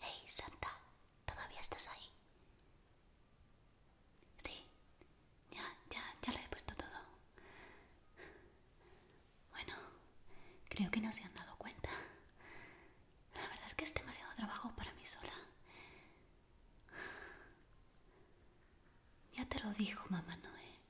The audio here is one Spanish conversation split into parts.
Hey, Santa, ¿todavía estás ahí? Sí, ya, ya, ya lo he puesto todo. Bueno, creo que no se han dado cuenta. La verdad es que es demasiado trabajo para mí sola. Ya te lo dijo Mamá Noé,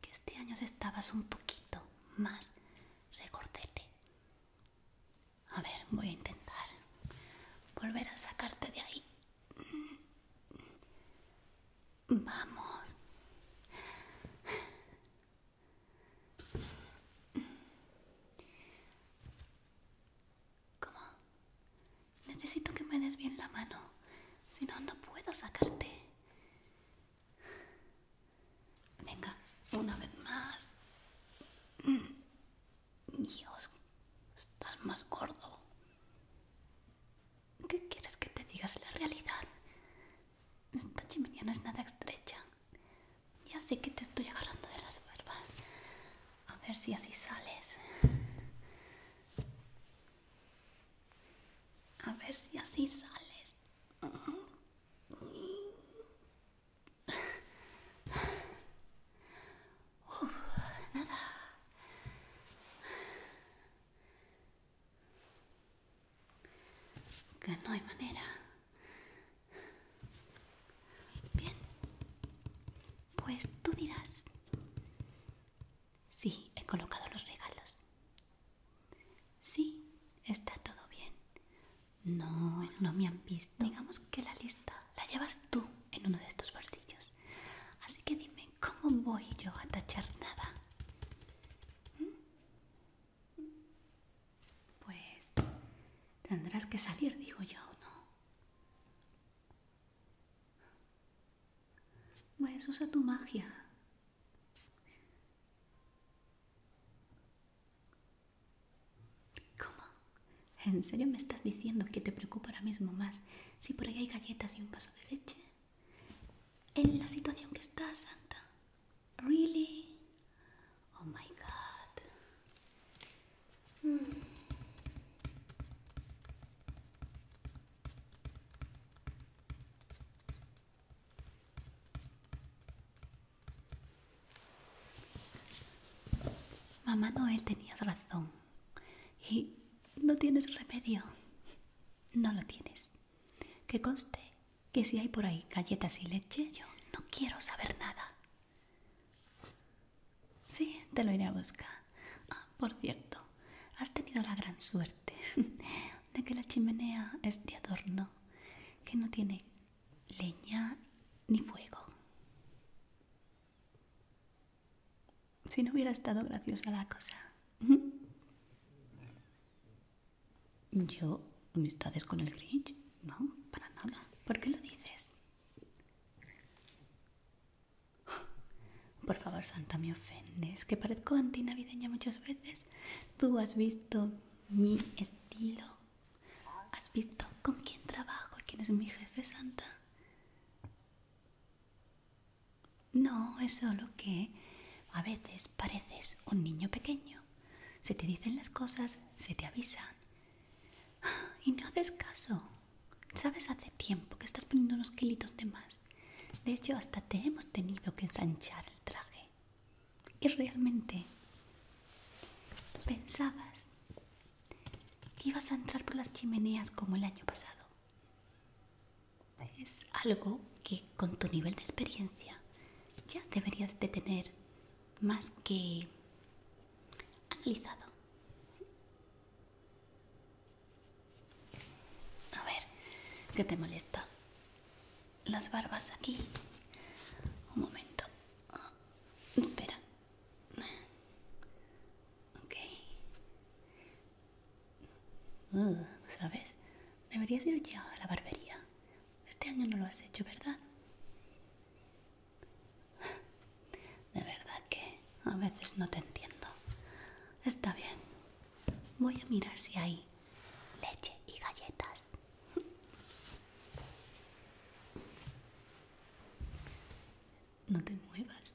que este año estabas un poquito más recordete. A ver, voy a intentar volver a sacarte de ahí. Vamos. ¿Cómo? Necesito que me des bien la mano, si no, no puedo sacarte. Venga, una vez más. Mm. Dios, estás más gordo. ¿Qué quieres que te digas la realidad? Esta chimenea no es nada estrecha. Ya sé que te estoy agarrando de las barbas. A ver si así sales. A ver si así sales. nada. Que no hay manera. Bien. Pues tú dirás. Sí, he colocado los regalos. Sí, está todo bien. No, no me han visto. Digamos que la lista la llevas tú en uno de estos bolsillos. Así que dime, ¿cómo voy yo a tachar nada? ¿Mm? Pues tendrás que salir, digo yo, ¿no? Pues usa tu magia. ¿Cómo? ¿En serio me estás diciendo que te preocupa ahora mismo más si por ahí hay galletas y un vaso de leche? en la situación que está, Santa. Really? Oh my god. mamá Mamá Noel tenía razón. Y no tienes remedio. No lo tienes. Que conste que si hay por ahí galletas y leche, yo no quiero saber nada. Sí, te lo iré a buscar. Ah, por cierto, has tenido la gran suerte de que la chimenea es de adorno, que no tiene leña ni fuego. Si no hubiera estado graciosa la cosa. Yo, amistades con el Grinch, no, para nada. ¿Por qué lo dices? Por favor, Santa, me ofendes, que parezco antinavideña muchas veces. Tú has visto mi estilo. Has visto con quién trabajo, quién es mi jefe, Santa. No, es solo que a veces pareces un niño pequeño. Se te dicen las cosas, se te avisan. Y no haces caso. Sabes, hace tiempo que estás poniendo unos kilitos de más. De hecho, hasta te hemos tenido que ensanchar el traje. Y realmente pensabas que ibas a entrar por las chimeneas como el año pasado. Es algo que con tu nivel de experiencia ya deberías de tener más que analizado. A ver, ¿qué te molesta? Las barbas aquí. Un momento. Ah, espera. Ok. Mm, ¿Sabes? Deberías ir ya a la barbería. Este año no lo has hecho, ¿verdad? De verdad que a veces no te entiendo. Está bien. Voy a mirar si hay leche y galletas no te muevas.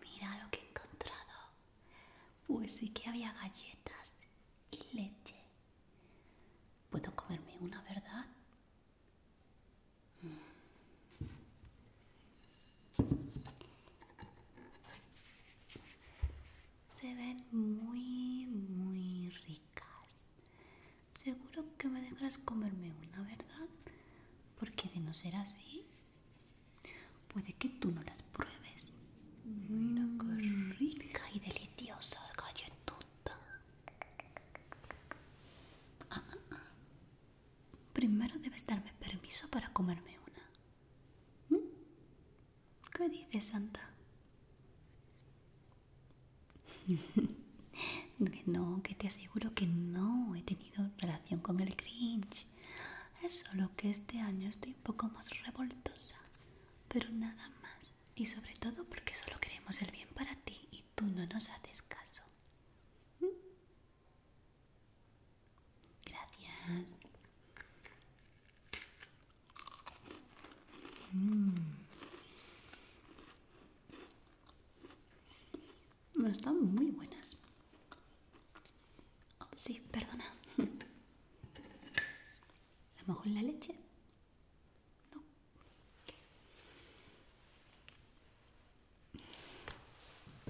Mira lo que he encontrado. Pues sí que había galletas y leche. Puedo comerme una, ¿verdad? Se ven muy, muy ricas. Seguro que me dejarás comerme una, ¿verdad? Porque de no ser así, puede que tú no las pruebes. Mira mm. qué rica y deliciosa galletota. Ah, ah, ah. Primero debes darme permiso para comerme una. ¿Mm? ¿Qué dices, Santa? no, que te aseguro que no he tenido relación con el cringe. Es solo que este año estoy un poco más revoltosa, pero nada más. Y sobre todo porque solo queremos el bien para ti y tú no nos haces caso. Gracias. Mm. Están muy buenas. Oh, sí, perdona. ¿La mojo en la leche? No.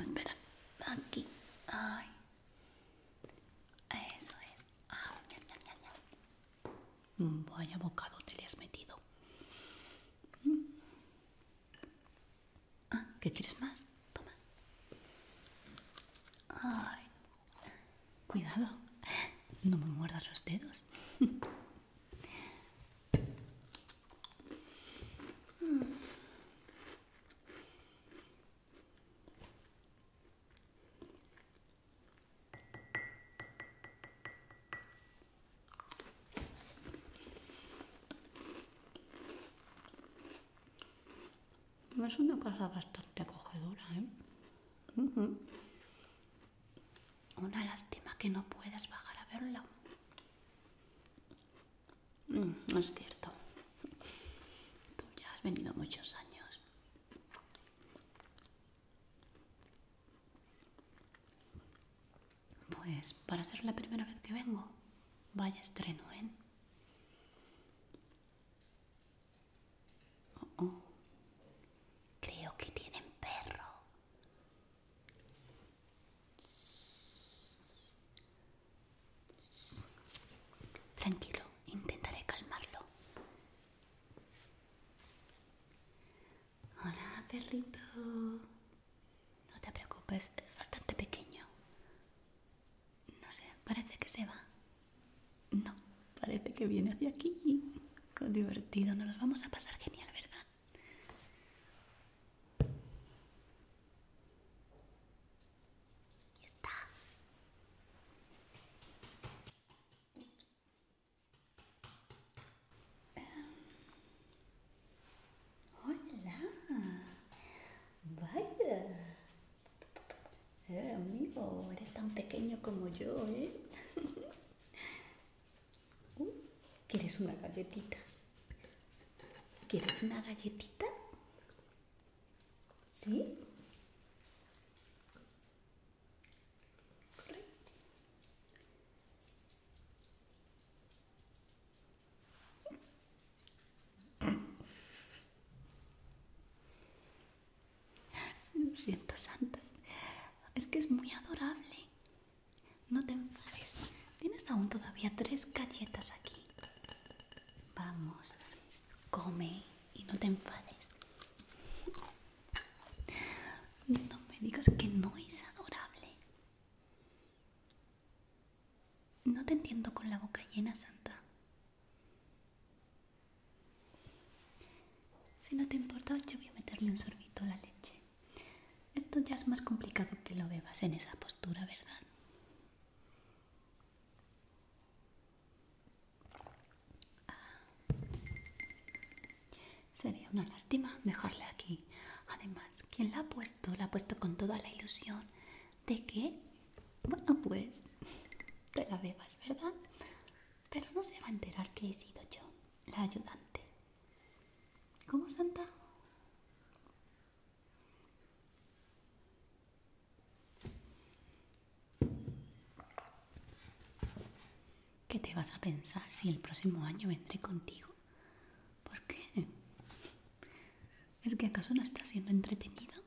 Espera, aquí. Ay. Eso es. Ah, ya, ya, ya, Vaya mm, bocado te le has metido. Mm. Ah, ¿qué quieres más? Toma. Ay, cuidado, no me muerdas los dedos. Es una casa bastante acogedora, ¿eh? Una lástima que no puedas bajar a verla. No mm, es cierto. Tú ya has venido muchos años. Pues para ser la primera vez que vengo, vaya estreno, ¿eh? Oh, oh. Creo que tienen perro. Tranquilo, intentaré calmarlo. Hola, perrito. No te preocupes, es bastante pequeño. No sé, parece que se va. No, parece que viene hacia aquí. Qué divertido, nos los vamos a pasar genial, ¿verdad? está. Hola, vaya. Eh, amigo, eres tan pequeño como yo, ¿eh? Uh, ¿Quieres una galletita? ¿Quieres una galletita? ¿Sí? Lo siento, Santa. Es que es muy adorable. No te enfades. Tienes aún todavía tres galletas aquí. Vamos, come y no te enfades. No me digas que no es adorable. No te entiendo con la boca llena, Santa. Si no te importa, yo voy a meterle un sorbito a la leche. Esto ya es más complicado que lo bebas en esa postura, ¿verdad? Ah. Sería una lástima dejarla aquí. Además, quien la ha puesto, la ha puesto con toda la ilusión de que, bueno, pues te la bebas, ¿verdad? Pero no se va a enterar que he sido yo, la ayudante. ¿Cómo, Santa? ¿Qué te vas a pensar si el próximo año vendré contigo? ¿Por qué? ¿Es que acaso no está siendo entretenido?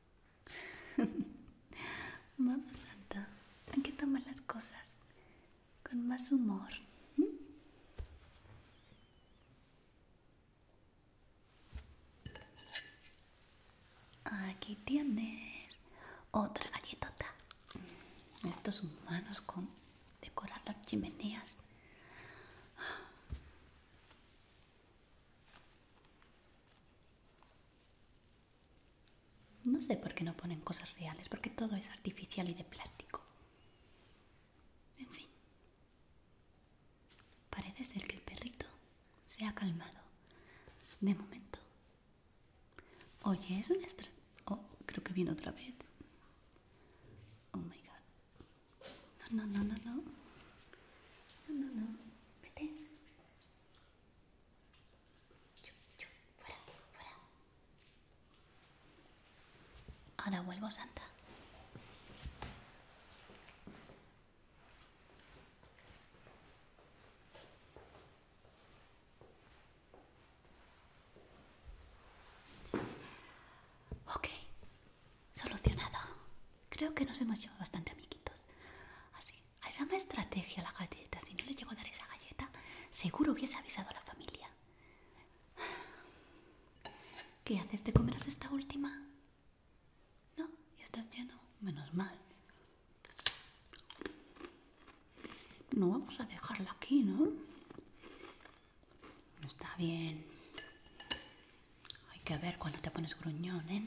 Vamos, Santa, hay que tomar las cosas con más humor. Aquí tienes otra galletota. Mm, estos humanos con decorar las chimeneas. No sé por qué no ponen cosas reales, porque todo es artificial y de plástico. En fin, parece ser que el perrito se ha calmado. De momento. Oye, es una extra... Oh, creo que viene otra vez. Oh my god. No, no, no, no, no. No, no, no. Vete. Fuera, fuera. Ahora vuelvo, Santa. Ok, solucionado. Creo que nos hemos llevado bastante amiguitos. Así, hay una estrategia a la galleta. Si no le llego a dar esa galleta, seguro hubiese avisado a la familia. ¿Qué haces? ¿Te comerás esta última? No, ya estás lleno. Menos mal. No vamos a dejarla aquí, ¿no? no Está bien. Hay que ver cuando te pones gruñón, ¿eh?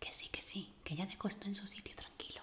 Que sí, que sí, que ya dejo esto en su sitio tranquilo.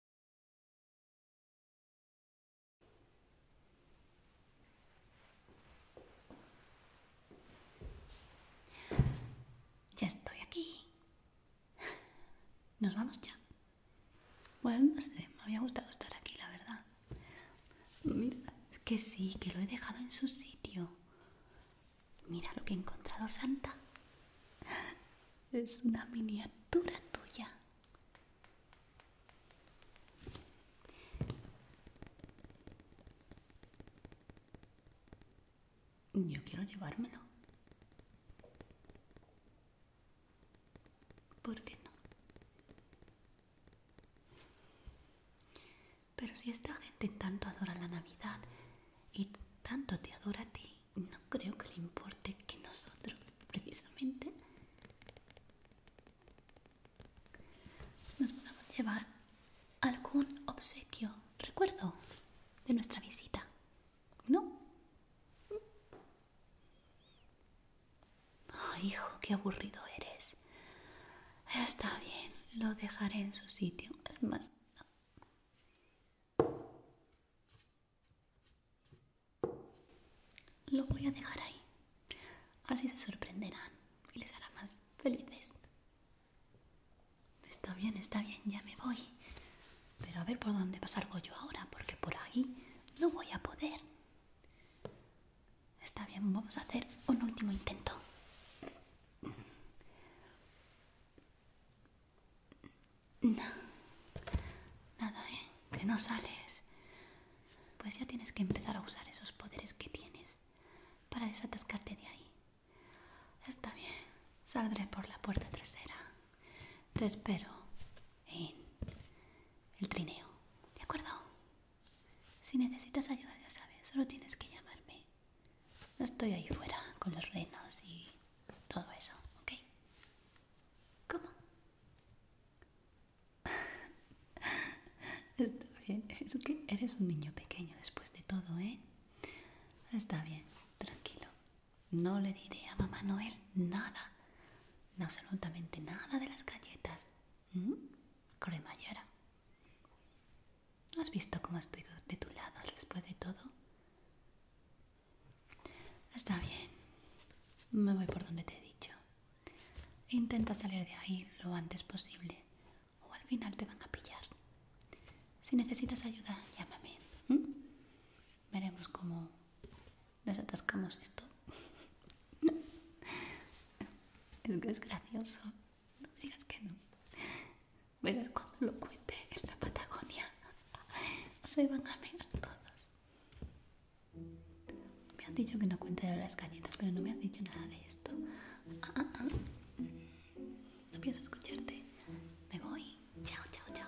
Ya estoy aquí. Nos vamos ya. Bueno, no sé, me había gustado estar aquí, la verdad. Mira, es que sí, que lo he dejado en su sitio. Mira lo que he encontrado, Santa es una miniatura tuya. Yo quiero llevármelo. ¿Por qué no? Pero si esta gente tanto adora la Navidad y tanto te adora a ti, no creo que le importe que nosotros precisamente nos podamos llevar algún obsequio, recuerdo de nuestra visita, ¿no? Oh, hijo, qué aburrido eres. Está bien, lo dejaré en su sitio. Es más, lo voy a dejar ahí. Así se sorprenderán y les hará más felices. Está bien, está bien, ya me voy. Pero a ver por dónde pasargo yo ahora, porque por ahí no voy a poder. Está bien, vamos a hacer un último intento. No. Nada, ¿eh? Que no sales. Pues ya tienes que empezar a usar esos poderes que tienes para desatascarte de ahí. Está bien. Saldré por la puerta trasera. Te espero en el trineo. ¿De acuerdo? Si necesitas ayuda, ya sabes, solo tienes que llamarme estoy ahí fuera con los renos y todo eso, ¿ok? ¿Cómo? Está bien, es que eres un niño pequeño después de todo, ¿eh? Está bien, tranquilo. No le diré a mamá Noel nada, absolutamente nada de las galletas. ¿Mm? Cremallera. ¿Has visto cómo estoy de tu lado después de todo? Está bien. Me voy por donde te he dicho. Intenta salir de ahí lo antes posible o al final te van a pillar. Si necesitas ayuda, llámame. Veremos cómo desatascamos esto. es desgracioso. No me digas que no ver cuando lo cuente en la Patagonia se van a ver todos me han dicho que no cuente de las galletas pero no me han dicho nada de esto ah, ah, ah. Mm. no pienso escucharte me voy chao chao chao